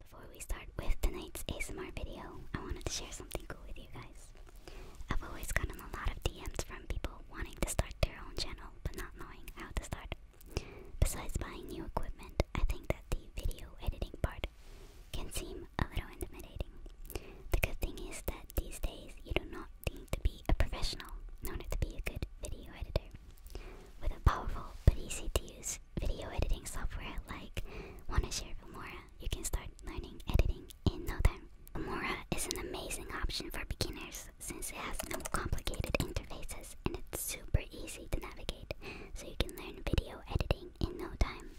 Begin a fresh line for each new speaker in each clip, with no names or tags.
Before we start with tonight's ASMR video, I wanted to share something cool with you guys. I've always gotten a lot of DMs from people wanting to start their own channel but not knowing how to start. Besides buying new equipment, I think that the video editing part can seem a little intimidating. The good thing is that these days you do not need to be a professional in order to be a good video editor. With a powerful but easy to use video editing software like Wanashare Filmora, you can start learning editing in no time. Filmora is an amazing option for beginners since it has no complicated interfaces and it's super easy to navigate, so you can learn video editing in no time.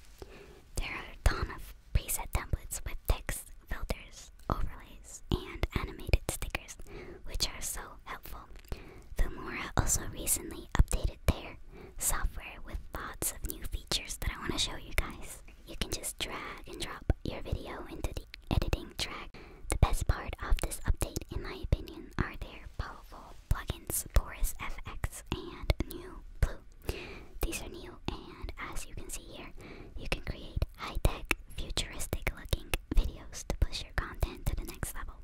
There are a ton of preset templates with text, filters, overlays, and animated stickers, which are so helpful. Filmora also recently updated their software with lots of new features that I want to show you guys. You can just drag and drop your video into the editing track. The best part of this update, in my opinion, are their powerful plugins, Boris FX and New Blue. These are new and as you can see here, you can create high-tech, futuristic-looking videos to push your content to the next level.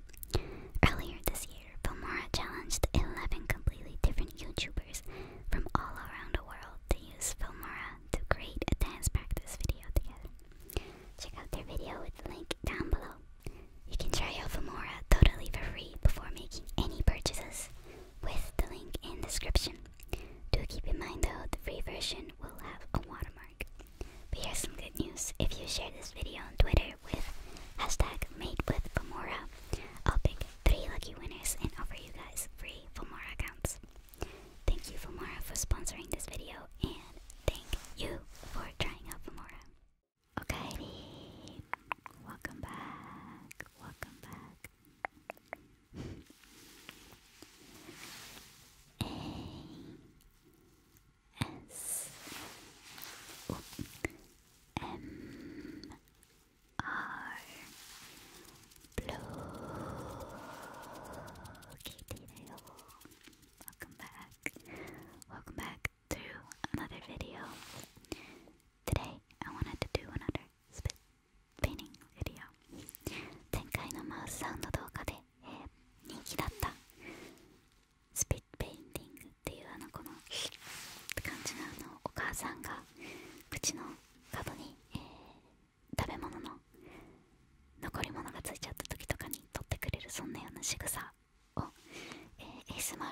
Earlier this year, Filmora challenged 11 completely different YouTubers from all around the world to use Filmora to create a dance practice video together. Check out their video with the link down below. You can try Alphamora totally for free before making any purchases with the link in description. Do keep in mind though, the free version will have a watermark. But here's some good news. If you share this video on Twitter with hashtag made with Fomora, I'll pick three lucky winners and offer you guys free Famora accounts. Thank you Famora for sponsoring this video and thank you for trying out Fomora. Okaidi, welcome back, welcome back. A S O M R Blue Kitty Welcome back. Welcome back. to another video. Today, I wanted to do another spit painting video. 前回のマウスサウンド動画で、えー、人気だったスピットペインティングっていうあのこの感じのあのお母さんが口の角に、えー、食べ物の残り物がついちゃった時とかに取ってくれるそんなような仕草をえー asmr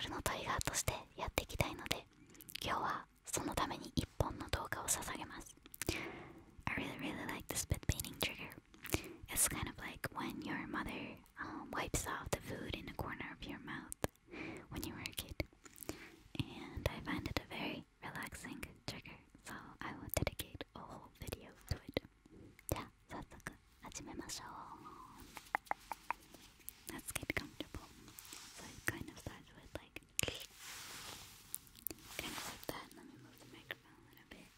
I really really like the spit painting trigger It's kind of like when your mother um, wipes off the food in the corner of your mouth when you were a kid and I find it a very relaxing trigger so I will dedicate a whole video to it ゃあ早速始めましょう Let's get comfortable So it kind of starts with like Kind of like that Let me move the microphone a little bit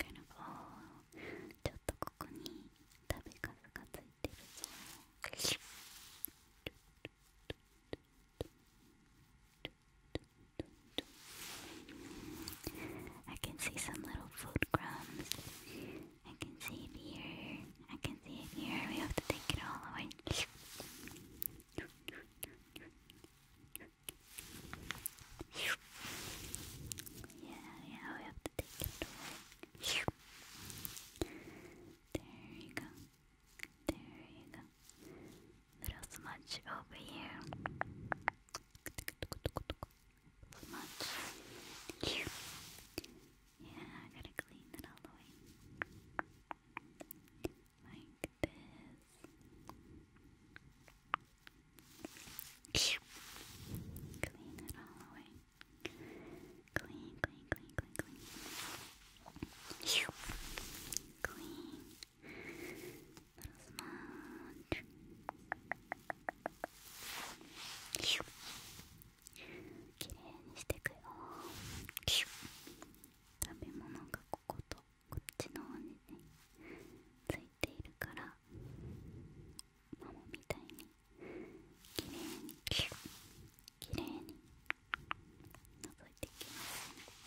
Kind of all ちょっとここに食べかすがついてるぞちょっと I can see some little food crumbs. I can see it here. I can see it here. We have to take it all away. Yeah, yeah, we have to take it away. There you go. There you go. There's little much over here. Smudge here. Yeah, I gotta clean it all the Like this. Clean it all the Clean, clean, clean, clean, clean. Clean. きれいにしてくよ食べ物がこことこっちの方にねついているからマみたいにきれいにきれいに覗いていきます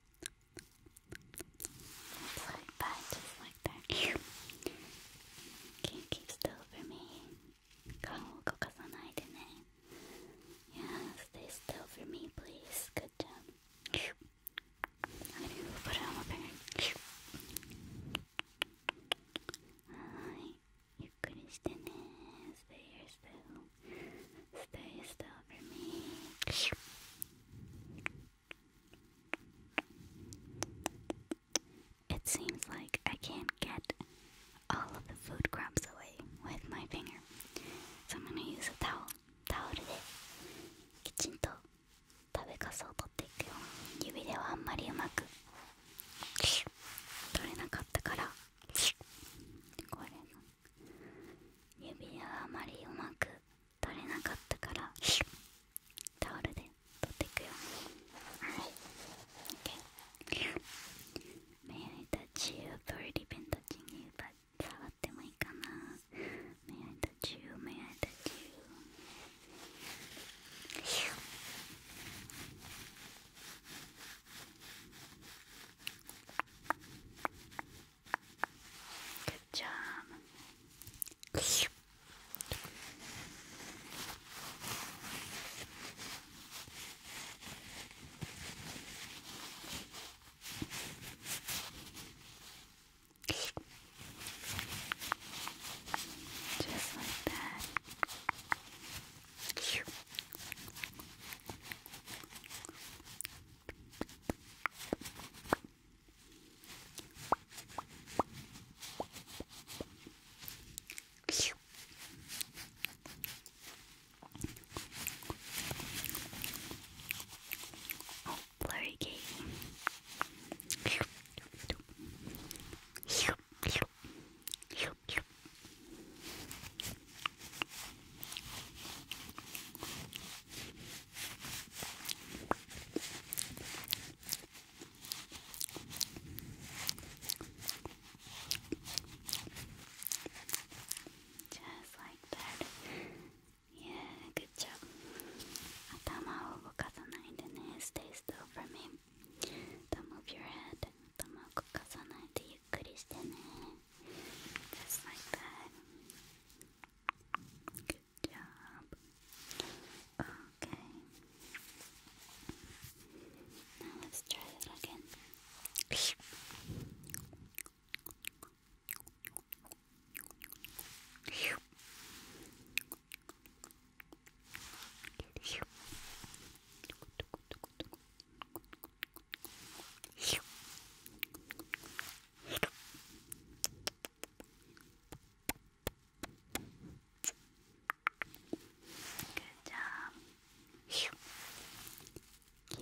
Apply that just like that. Can you keep still for me? 顔を動かさないでね。Yeah, stay still for me, please. Good job. I'm gonna put on my finger. はーい。ゆっくりしてね。Stay here still. Stay still for me. It seems like I can't get all of the food crumbs away with my finger. So I'm gonna use a towel. タオルできちんと食べかすを取っていくよ指ではあんまりうまく取れなかったからこれの指はあまりうまく取れなかったからタオルで取っていくよはい May I touch you? I've already been touching you, but 触ってもいいかな May I touch you? May I touch you? Good job. Just like that. Oh, blurry game. Pew, pew, pew, pew, just like that. Yeah, good job. Atama を動かさないでね。Stay still for me. Don't move your head. 頭を動かさないでゆっくりしてね。Just like that. Good job. Okay. Now let's try that again. Good. よ。き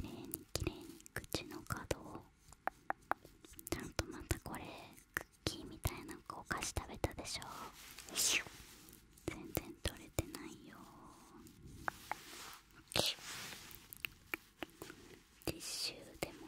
れいにきれいに口の角をちゃんとまたこれクッキーみたいなお菓子食べたでしょ全然取れてないよティッシュでも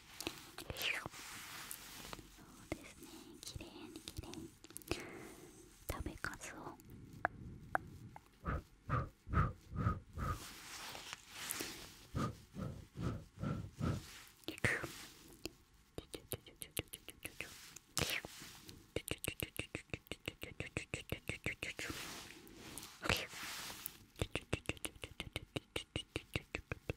そうですねきれいにきれいに食べかすをふっふっふっふっふっ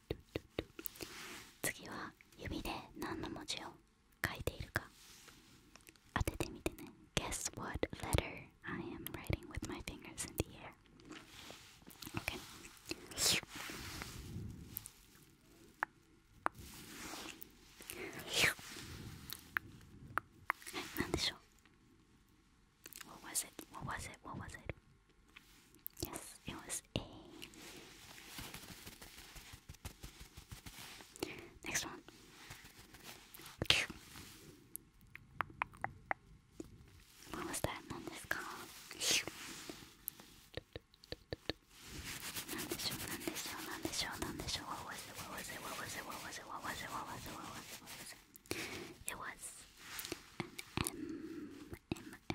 次は指で何の文字を書いているか当ててみてね Guess what letter I am writing with my fingers in the air Okay What was it? What was it? What was it? Yes, it was A. Next one. What was that one is called? Not this What was it? What was it? What was it? What was it? What was it? What was it? What was it? What was it? It was an M M M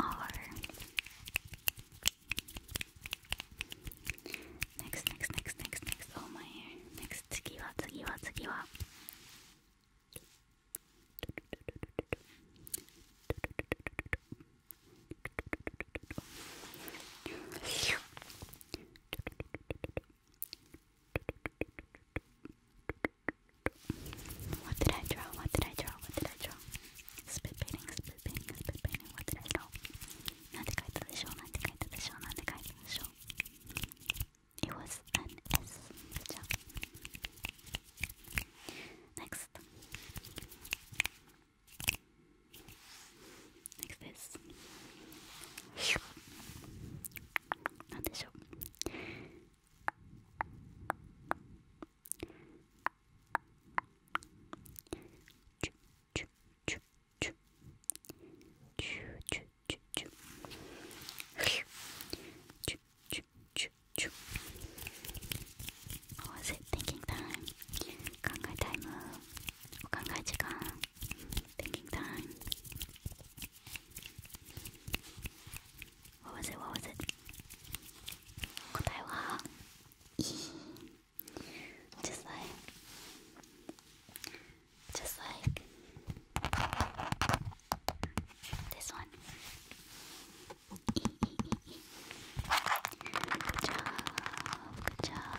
R. Next, next, next, next, next. Oh my hair. Next, tsukiwa, tsukiwa, what did I draw? What did I draw? What did I draw? Spit painting, spit painting, spit painting. What did I draw? It was an S. Next. Next is なんでしょうチュチュチュチュチュチュチュチュチュチュチュチュ w h a 考えタイムお考え時間 Thinking time. What was it? What was it? Just like, just like this one. Good job, job.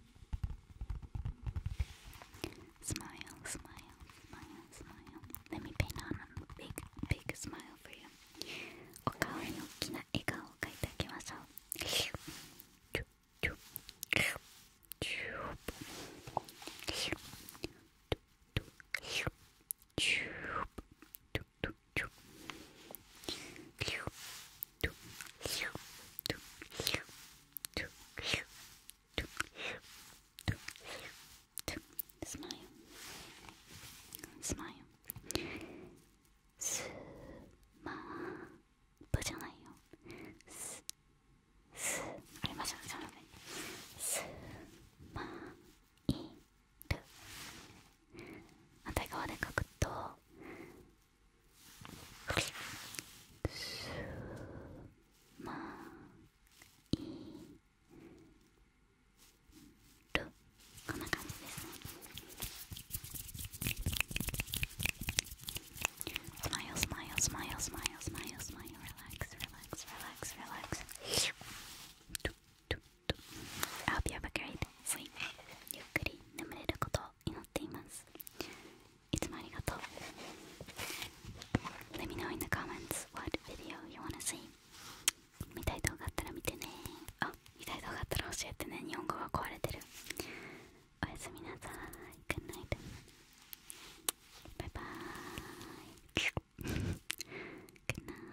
スマイ l e smile, smile, smile. Let me paint on a big, big s m お顔に大きな笑顔を描いてあげましょう。チューブューブューブューブュー smile smile スマブじゃないよススあれま違えちゃうねスマイル反対側で書くとこんな感じですねスマイルスマイルスマイルスマイルスマイルスマイルリラックスリラックスリラックスリラックス I hope you have a great sleep. ゆっくり眠れることを祈っています。いつもありがとう。Let me know in the comments what video you wanna see. 見たい動画あったら見てね。あ、見たい動画あったら教えてね。日本語が壊れてる。おやすみなさい。Good night. バイバイ。Good night.